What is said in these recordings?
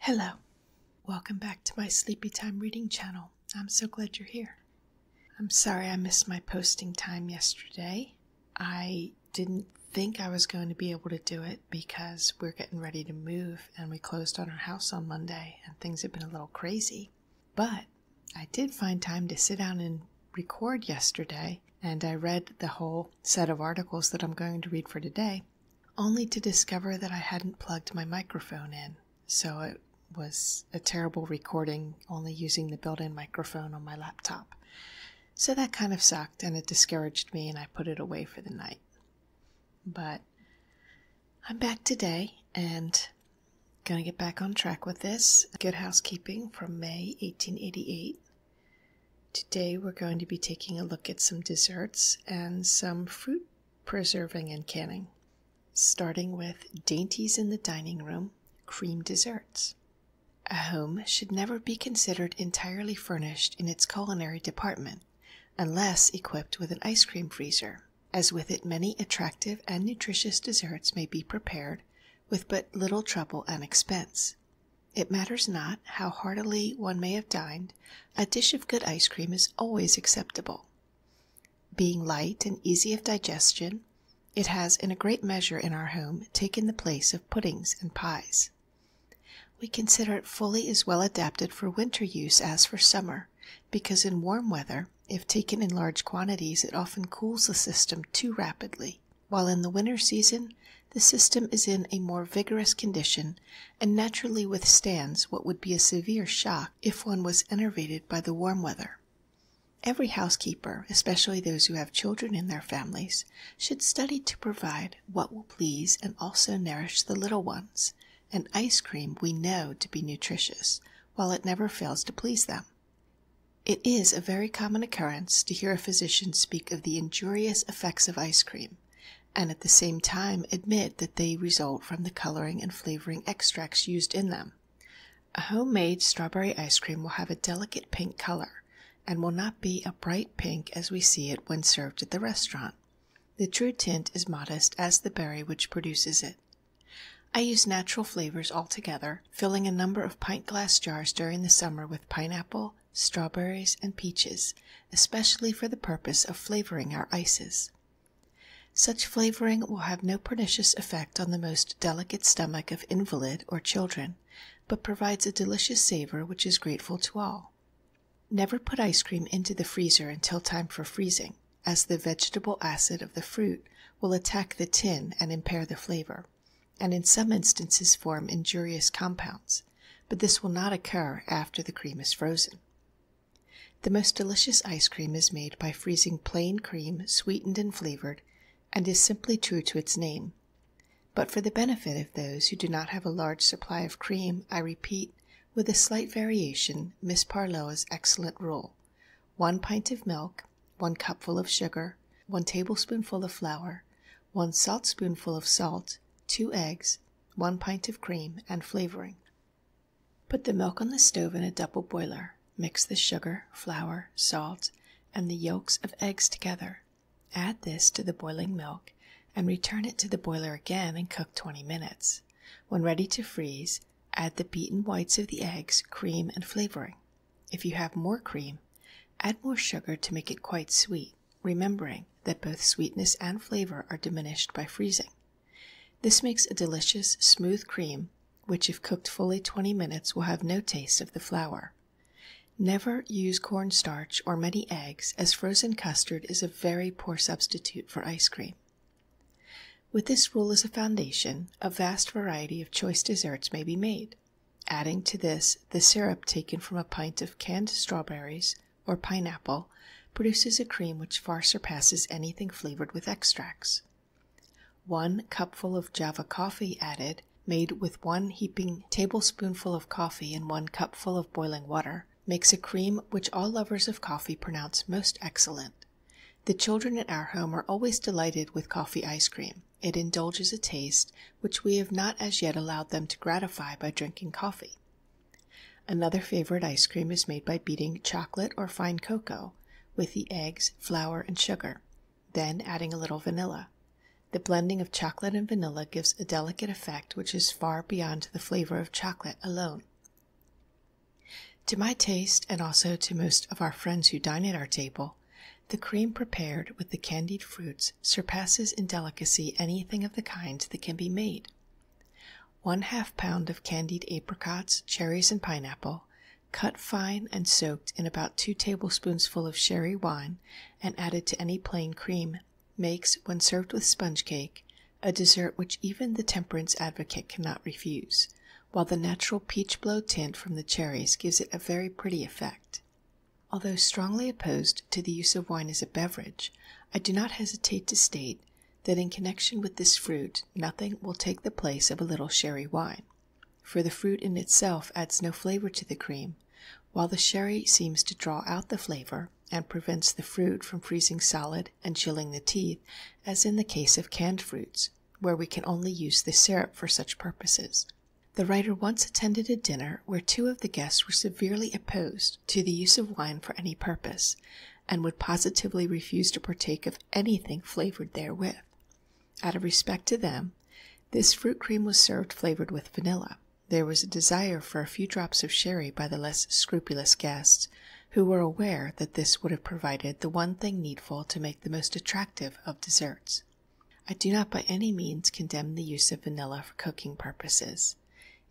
Hello. Welcome back to my Sleepy Time Reading channel. I'm so glad you're here. I'm sorry I missed my posting time yesterday. I didn't think I was going to be able to do it because we're getting ready to move and we closed on our house on Monday and things have been a little crazy. But I did find time to sit down and record yesterday and I read the whole set of articles that I'm going to read for today only to discover that I hadn't plugged my microphone in. So it was a terrible recording, only using the built in microphone on my laptop. So that kind of sucked and it discouraged me, and I put it away for the night. But I'm back today and gonna get back on track with this. Good Housekeeping from May 1888 Today we're going to be taking a look at some desserts and some fruit preserving and canning, starting with dainties in the dining room, cream desserts. A home should never be considered entirely furnished in its culinary department unless equipped with an ice cream freezer, as with it many attractive and nutritious desserts may be prepared with but little trouble and expense. It matters not how heartily one may have dined, a dish of good ice cream is always acceptable. Being light and easy of digestion, it has in a great measure in our home taken the place of puddings and pies. We consider it fully as well adapted for winter use as for summer, because in warm weather, if taken in large quantities, it often cools the system too rapidly, while in the winter season the system is in a more vigorous condition and naturally withstands what would be a severe shock if one was enervated by the warm weather. Every housekeeper, especially those who have children in their families, should study to provide what will please and also nourish the little ones, and ice cream we know to be nutritious, while it never fails to please them. It is a very common occurrence to hear a physician speak of the injurious effects of ice cream, and at the same time admit that they result from the coloring and flavoring extracts used in them. A homemade strawberry ice cream will have a delicate pink color and will not be a bright pink as we see it when served at the restaurant. The true tint is modest as the berry which produces it. I use natural flavors altogether, filling a number of pint glass jars during the summer with pineapple, strawberries, and peaches, especially for the purpose of flavoring our ices. Such flavoring will have no pernicious effect on the most delicate stomach of invalid or children, but provides a delicious savor which is grateful to all. Never put ice cream into the freezer until time for freezing, as the vegetable acid of the fruit will attack the tin and impair the flavor and in some instances form injurious compounds, but this will not occur after the cream is frozen. The most delicious ice cream is made by freezing plain cream, sweetened and flavored, and is simply true to its name. But for the benefit of those who do not have a large supply of cream, I repeat, with a slight variation, Miss Parloa's excellent rule. One pint of milk, one cupful of sugar, one tablespoonful of flour, 1 saltspoonful of salt, 2 eggs, 1 pint of cream, and flavoring. Put the milk on the stove in a double boiler. Mix the sugar, flour, salt, and the yolks of eggs together. Add this to the boiling milk and return it to the boiler again and cook 20 minutes. When ready to freeze, add the beaten whites of the eggs, cream, and flavoring. If you have more cream, add more sugar to make it quite sweet remembering that both sweetness and flavor are diminished by freezing. This makes a delicious, smooth cream, which, if cooked fully 20 minutes, will have no taste of the flour. Never use corn starch or many eggs, as frozen custard is a very poor substitute for ice cream. With this rule as a foundation, a vast variety of choice desserts may be made adding to this the syrup taken from a pint of canned strawberries or pineapple produces a cream which far surpasses anything flavored with extracts. One cupful of Java coffee added, made with one heaping tablespoonful of coffee and one cupful of boiling water, makes a cream which all lovers of coffee pronounce most excellent. The children at our home are always delighted with coffee ice cream it indulges a taste which we have not as yet allowed them to gratify by drinking coffee. Another favorite ice cream is made by beating chocolate or fine cocoa with the eggs, flour, and sugar, then adding a little vanilla. The blending of chocolate and vanilla gives a delicate effect which is far beyond the flavor of chocolate alone. To my taste, and also to most of our friends who dine at our table, the cream prepared with the candied fruits surpasses in delicacy anything of the kind that can be made. One half pound of candied apricots, cherries, and pineapple, cut fine and soaked in about two tablespoonsful of sherry wine and added to any plain cream, makes, when served with sponge cake, a dessert which even the temperance advocate cannot refuse, while the natural peach blow tint from the cherries gives it a very pretty effect. Although strongly opposed to the use of wine as a beverage, I do not hesitate to state that in connection with this fruit nothing will take the place of a little sherry wine, for the fruit in itself adds no flavor to the cream, while the sherry seems to draw out the flavor and prevents the fruit from freezing solid and chilling the teeth as in the case of canned fruits, where we can only use the syrup for such purposes. The writer once attended a dinner where two of the guests were severely opposed to the use of wine for any purpose, and would positively refuse to partake of anything flavored therewith. Out of respect to them, this fruit cream was served flavored with vanilla. There was a desire for a few drops of sherry by the less scrupulous guests, who were aware that this would have provided the one thing needful to make the most attractive of desserts. I do not by any means condemn the use of vanilla for cooking purposes.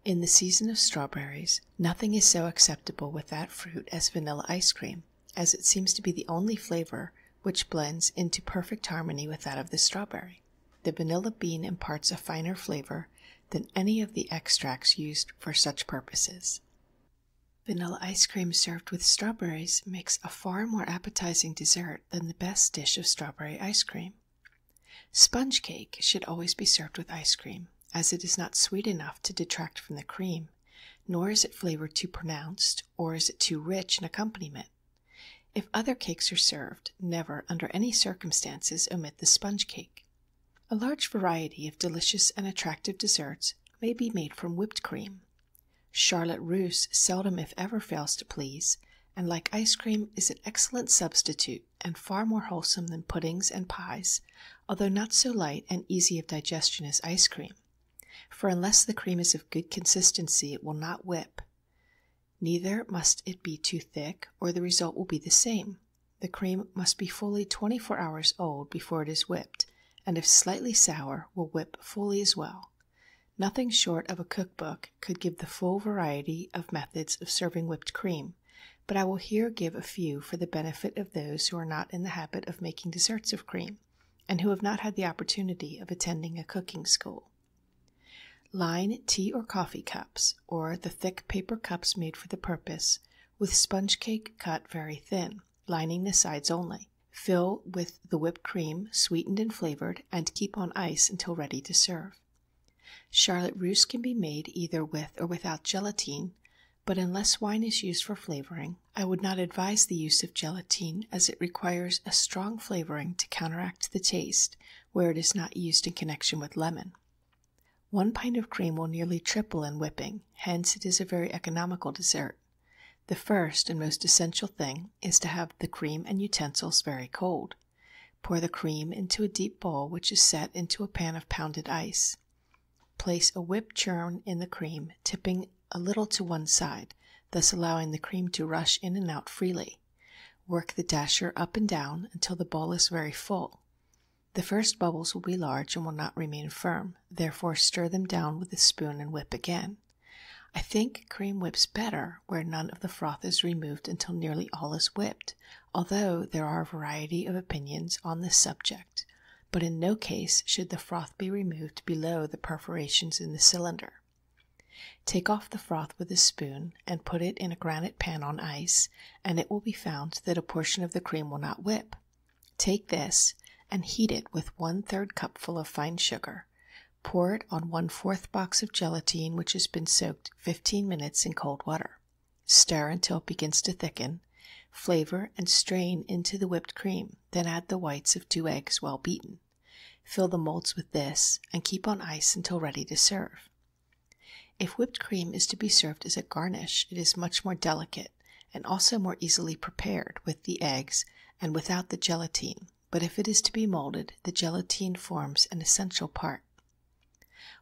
In the season of strawberries, nothing is so acceptable with that fruit as vanilla ice cream, as it seems to be the only flavor which blends into perfect harmony with that of the strawberry. The vanilla bean imparts a finer flavor than any of the extracts used for such purposes. Vanilla ice cream served with strawberries makes a far more appetizing dessert than the best dish of strawberry ice cream. Sponge cake should always be served with ice cream, as it is not sweet enough to detract from the cream, nor is it flavor too pronounced, or is it too rich an accompaniment. If other cakes are served, never, under any circumstances, omit the sponge cake. A large variety of delicious and attractive desserts may be made from whipped cream, Charlotte Russe seldom if ever fails to please, and like ice cream is an excellent substitute and far more wholesome than puddings and pies, although not so light and easy of digestion as ice cream, for unless the cream is of good consistency it will not whip. Neither must it be too thick, or the result will be the same. The cream must be fully 24 hours old before it is whipped, and if slightly sour will whip fully as well. Nothing short of a cookbook could give the full variety of methods of serving whipped cream, but I will here give a few for the benefit of those who are not in the habit of making desserts of cream and who have not had the opportunity of attending a cooking school. Line tea or coffee cups, or the thick paper cups made for the purpose, with sponge cake cut very thin, lining the sides only. Fill with the whipped cream, sweetened and flavored, and keep on ice until ready to serve. Charlotte Russe can be made either with or without gelatine, but unless wine is used for flavoring, I would not advise the use of gelatine as it requires a strong flavoring to counteract the taste where it is not used in connection with lemon. One pint of cream will nearly triple in whipping, hence, it is a very economical dessert the first and most essential thing is to have the cream and utensils very cold. Pour the cream into a deep bowl which is set into a pan of pounded ice. Place a whipped churn in the cream, tipping a little to one side, thus allowing the cream to rush in and out freely. Work the dasher up and down until the bowl is very full. The first bubbles will be large and will not remain firm, therefore stir them down with a spoon and whip again. I think cream whips better where none of the froth is removed until nearly all is whipped, although there are a variety of opinions on this subject, but in no case should the froth be removed below the perforations in the cylinder. Take off the froth with a spoon and put it in a granite pan on ice, and it will be found that a portion of the cream will not whip. Take this and heat it with one third cupful of fine sugar Pour it on one fourth box of gelatine which has been soaked 15 minutes in cold water. Stir until it begins to thicken, flavor and strain into the whipped cream, then add the whites of two eggs well beaten. Fill the molds with this and keep on ice until ready to serve. If whipped cream is to be served as a garnish, it is much more delicate and also more easily prepared with the eggs and without the gelatine, but if it is to be molded, the gelatine forms an essential part.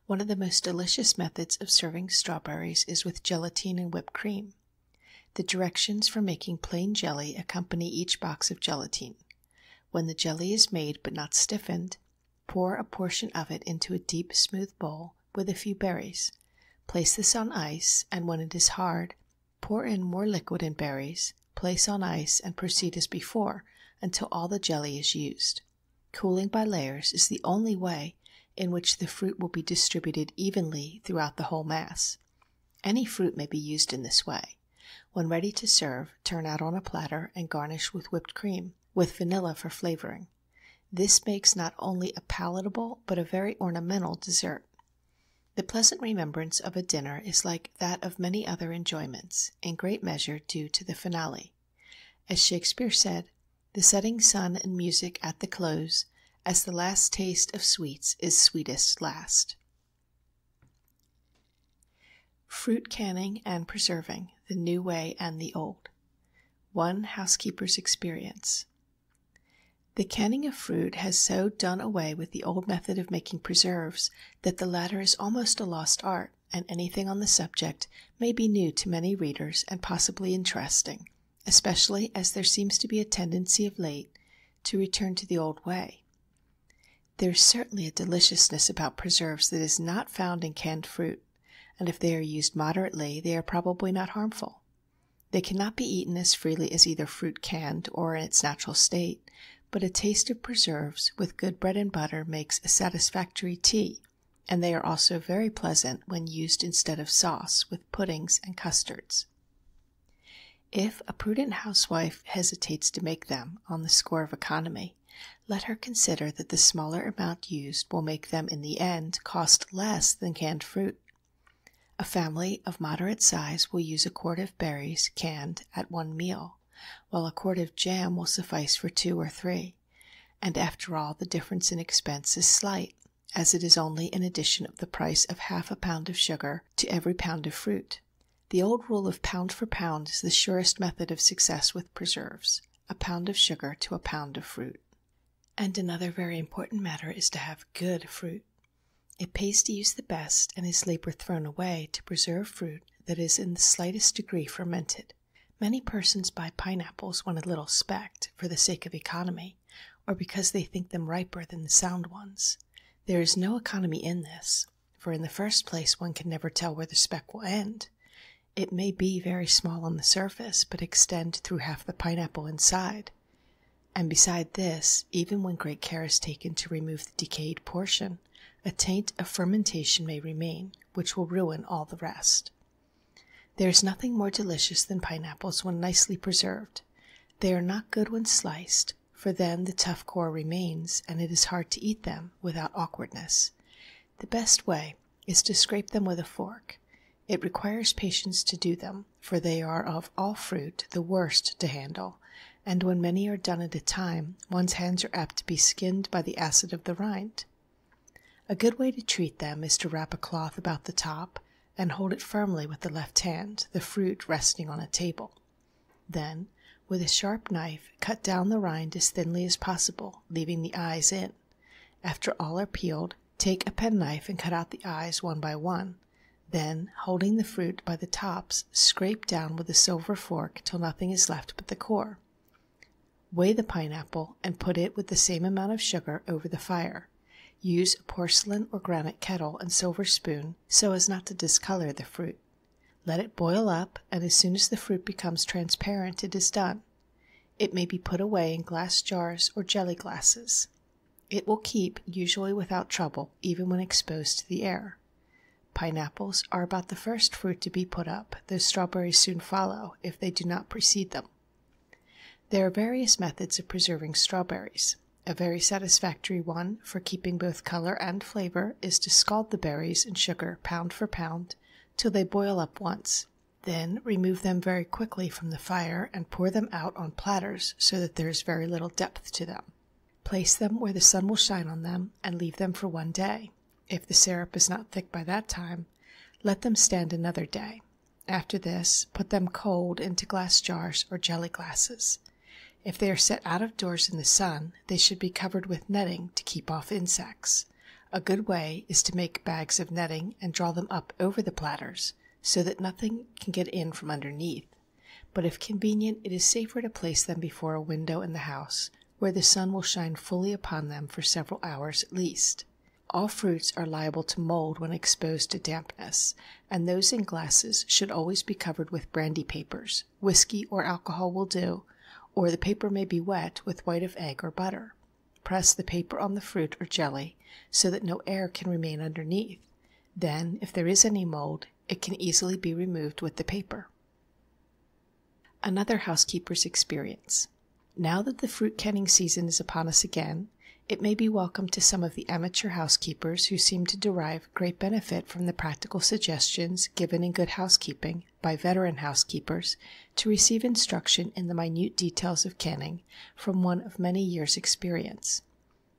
One of the most delicious methods of serving strawberries is with gelatine and whipped cream. The directions for making plain jelly accompany each box of gelatine. When the jelly is made but not stiffened, pour a portion of it into a deep, smooth bowl with a few berries. Place this on ice, and when it is hard, Pour in more liquid and berries, place on ice, and proceed as before until all the jelly is used. Cooling by layers is the only way in which the fruit will be distributed evenly throughout the whole mass. Any fruit may be used in this way. When ready to serve, turn out on a platter and garnish with whipped cream, with vanilla for flavoring. This makes not only a palatable but a very ornamental dessert. The pleasant remembrance of a dinner is like that of many other enjoyments, in great measure due to the finale. As Shakespeare said, "The setting sun and music at the close, as the last taste of sweets is sweetest last." Fruit Canning and Preserving: The New Way and the Old. One Housekeeper's Experience. The canning of fruit has so done away with the old method of making preserves that the latter is almost a lost art, and anything on the subject may be new to many readers and possibly interesting, especially as there seems to be a tendency of late to return to the old way. There is certainly a deliciousness about preserves that is not found in canned fruit, and if they are used moderately they are probably not harmful. They cannot be eaten as freely as either fruit canned or in its natural state, but a taste of preserves with good bread and butter makes a satisfactory tea, and they are also very pleasant when used instead of sauce with puddings and custards. If a prudent housewife hesitates to make them on the score of economy, let her consider that the smaller amount used will make them in the end cost less than canned fruit a family of moderate size will use a quart of berries canned at one meal, while a quart of jam will suffice for two or three, and after all the difference in expense is slight, as it is only an addition of the price of half a pound of sugar to every pound of fruit. The old rule of pound for pound is the surest method of success with preserves—a pound of sugar to a pound of fruit. And another very important matter is to have good fruit. It pays to use the best and is labor thrown away to preserve fruit that is in the slightest degree fermented. Many persons buy pineapples when a little specked for the sake of economy, or because they think them riper than the sound ones. There is no economy in this, for in the first place one can never tell where the speck will end. It may be very small on the surface, but extend through half the pineapple inside. And beside this, even when great care is taken to remove the decayed portion, a taint of fermentation may remain, which will ruin all the rest. There is nothing more delicious than pineapples when nicely preserved. They are not good when sliced, for then the tough core remains and it is hard to eat them without awkwardness. The best way is to scrape them with a fork it requires patience to do them, for they are of all fruit the worst to handle, and when many are done at a time, one's hands are apt to be skinned by the acid of the rind. A good way to treat them is to wrap a cloth about the top and hold it firmly with the left hand, the fruit resting on a table. Then, with a sharp knife, cut down the rind as thinly as possible, leaving the eyes in. After all are peeled, Take a penknife and cut out the eyes one by one. Then, holding the fruit by the tops, scrape down with a silver fork till nothing is left but the core. Weigh the pineapple and put it with the same amount of sugar over the fire. Use a porcelain or granite kettle and silver spoon so as not to discolor the fruit. Let it boil up, and as soon as the fruit becomes transparent it is done. It may be put away in glass jars or jelly glasses. It will keep usually without trouble, even when exposed to the air. Pineapples are about the first fruit to be put up, though strawberries soon follow if they do not precede them. There are various methods of preserving strawberries. A very satisfactory one for keeping both color and flavor is to scald the berries in sugar pound for pound till they boil up once, then remove them very quickly from the fire and pour them out on platters so that there is very little depth to them. Place them where the sun will shine on them and leave them for one day. If the syrup is not thick by that time, let them stand another day. After this, put them cold into glass jars or jelly glasses. If they are set out of doors in the sun, they should be covered with netting to keep off insects. A good way is to make bags of netting and draw them up over the platters so that nothing can get in from underneath, but if convenient, it is safer to place them before a window in the house where the sun will shine fully upon them for several hours at least. All fruits are liable to mold when exposed to dampness, and those in glasses should always be covered with brandy papers. Whisky or alcohol will do, or the paper may be wet with white of egg or butter. Press the paper on the fruit or jelly so that no air can remain underneath. Then, if there is any mold, it can easily be removed with the paper. Another housekeeper's experience. Now that the fruit canning season is upon us again, it may be welcome to some of the amateur housekeepers who seem to derive great benefit from the practical suggestions given in Good Housekeeping by veteran housekeepers to receive instruction in the minute details of canning from one of many years' experience.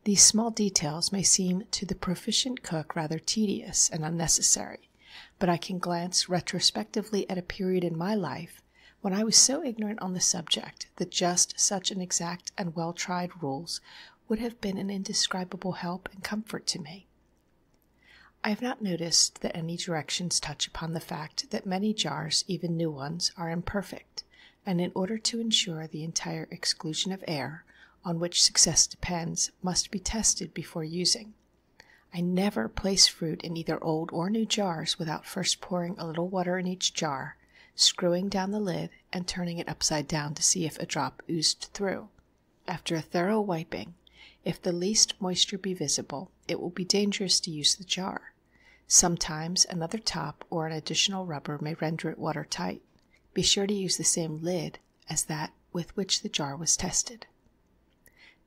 These small details may seem to the proficient cook rather tedious and unnecessary, but I can glance retrospectively at a period in my life when I was so ignorant on the subject that just such an exact and well tried rules would have been an indescribable help and comfort to me. I have not noticed that any directions touch upon the fact that many jars, even new ones, are imperfect, and in order to ensure the entire exclusion of air, on which success depends, must be tested before using. I never place fruit in either old or new jars without first pouring a little water in each jar, screwing down the lid, and turning it upside down to see if a drop oozed through. After a thorough wiping, if the least moisture be visible, it will be dangerous to use the jar. Sometimes another top or an additional rubber may render it water tight. Be sure to use the same lid as that with which the jar was tested.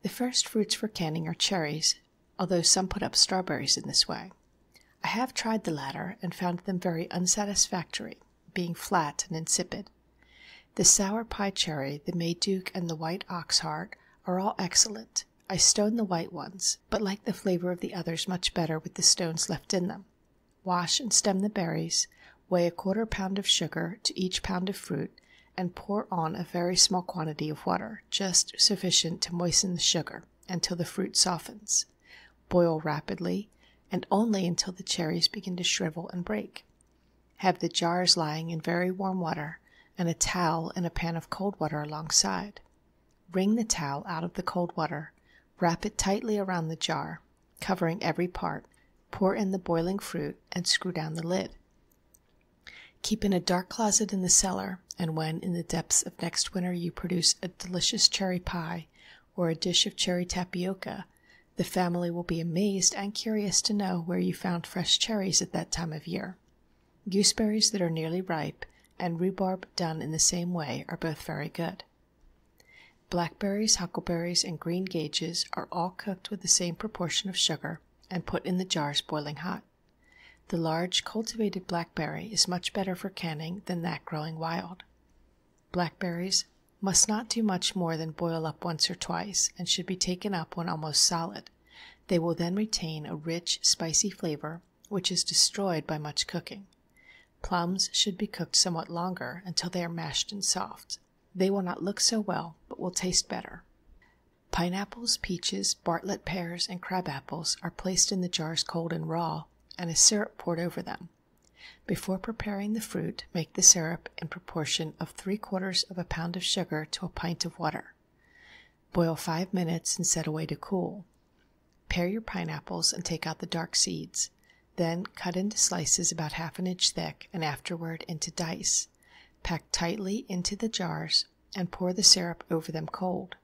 The first fruits for canning are cherries, although some put up strawberries in this way. I have tried the latter and found them very unsatisfactory, being flat and insipid. The sour pie cherry, the May Duke, and the white oxheart are all excellent, I stone the white ones, but like the flavor of the others much better with the stones left in them. Wash and stem the berries, weigh a quarter pound of sugar to each pound of fruit, and pour on a very small quantity of water, just sufficient to moisten the sugar, until the fruit softens. Boil rapidly, and only until the cherries begin to shrivel and break. Have the jars lying in very warm water, and a towel and a pan of cold water alongside. Wring the towel out of the cold water, wrap it tightly around the jar, covering every part, pour in the boiling fruit, and screw down the lid. Keep in a dark closet in the cellar, and when in the depths of next winter you produce a delicious cherry pie or a dish of cherry tapioca, the family will be amazed and curious to know where you found fresh cherries at that time of year. Gooseberries that are nearly ripe and rhubarb done in the same way are both very good. Blackberries, huckleberries, and green gages are all cooked with the same proportion of sugar and put in the jars boiling hot. The large cultivated blackberry is much better for canning than that growing wild. Blackberries must not do much more than boil up once or twice and should be taken up when almost solid. They will then retain a rich, spicy flavor, which is destroyed by much cooking. Plums should be cooked somewhat longer, until they are mashed and soft. They will not look so well, but will taste better. Pineapples, peaches, Bartlett pears, and crab apples are placed in the jars cold and raw, and a syrup poured over them. Before preparing the fruit, make the syrup in proportion of three quarters of a pound of sugar to a pint of water. Boil five minutes and set away to cool. Pare your pineapples and take out the dark seeds, then cut into slices about half an inch thick and afterward into dice. Pack tightly into the jars and pour the syrup over them cold.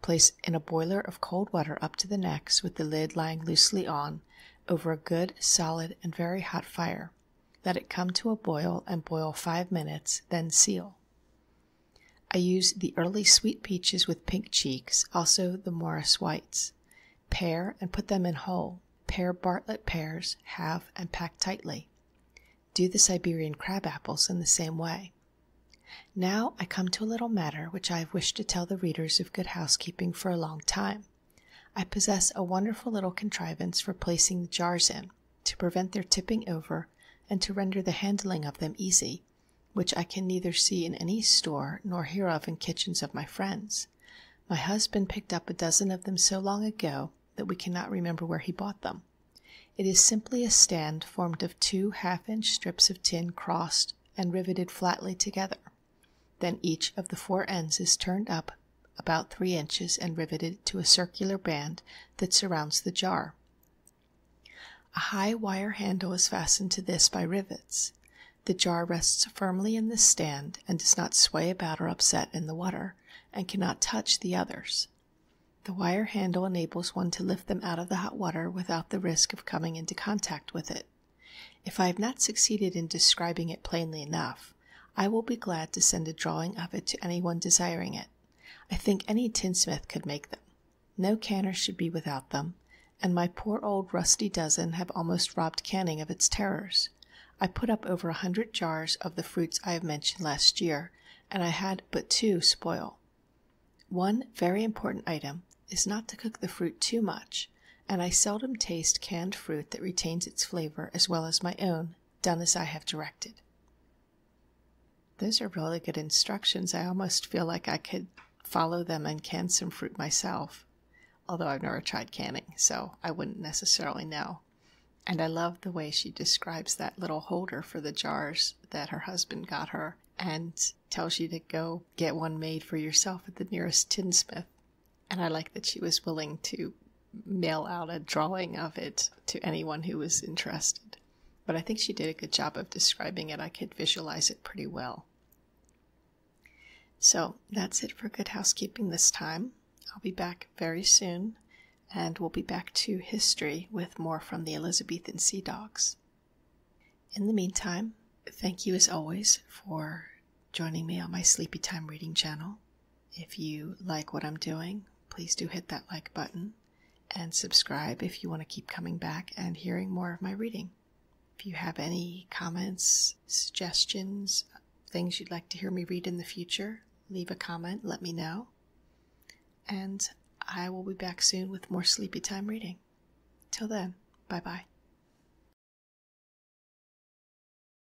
Place in a boiler of cold water up to the necks with the lid lying loosely on over a good, solid, and very hot fire. Let it come to a boil and boil five minutes, then seal. I use the early sweet peaches with pink cheeks, also the Morris whites. Pare and put them in whole. Pare Bartlett pears, halve, and pack tightly. Do the Siberian crab apples in the same way. Now I come to a little matter which I have wished to tell the readers of Good Housekeeping for a long time. I possess a wonderful little contrivance for placing the jars in to prevent their tipping over and to render the handling of them easy, which I can neither see in any store nor hear of in kitchens of my friends. My husband picked up a dozen of them so long ago that we cannot remember where he bought them. It is simply a stand formed of two half inch strips of tin crossed and riveted flatly together. Then each of the four ends is turned up about 3 inches and riveted to a circular band that surrounds the jar. A high wire handle is fastened to this by rivets. The jar rests firmly in the stand and does not sway about or upset in the water, and cannot touch the others. The wire handle enables one to lift them out of the hot water without the risk of coming into contact with it. If I have not succeeded in describing it plainly enough, I will be glad to send a drawing of it to any one desiring it. I think any tinsmith could make them. No canner should be without them, and my poor old rusty dozen have almost robbed canning of its terrors. I put up over a hundred jars of the fruits I have mentioned last year, and I had but two spoil. One very important item is not to cook the fruit too much, and I seldom taste canned fruit that retains its flavor as well as my own done as I have directed. Those are really good instructions. I almost feel like I could follow them and can some fruit myself, although I've never tried canning, so I wouldn't necessarily know. And I love the way she describes that little holder for the jars that her husband got her and tells you to go get one made for yourself at the nearest tinsmith. And I like that she was willing to mail out a drawing of it to anyone who was interested. But I think she did a good job of describing it. I could visualize it pretty well. So that's it for Good Housekeeping this time. I'll be back very soon, and we'll be back to history with more from the Elizabethan Sea Dogs. In the meantime, thank you as always for joining me on my Sleepy Time Reading channel. If you like what I'm doing, please do hit that like button and subscribe if you want to keep coming back and hearing more of my reading. If you have any comments, suggestions, things you'd like to hear me read in the future, leave a comment, let me know. And I will be back soon with more sleepy time reading. Till then, bye bye.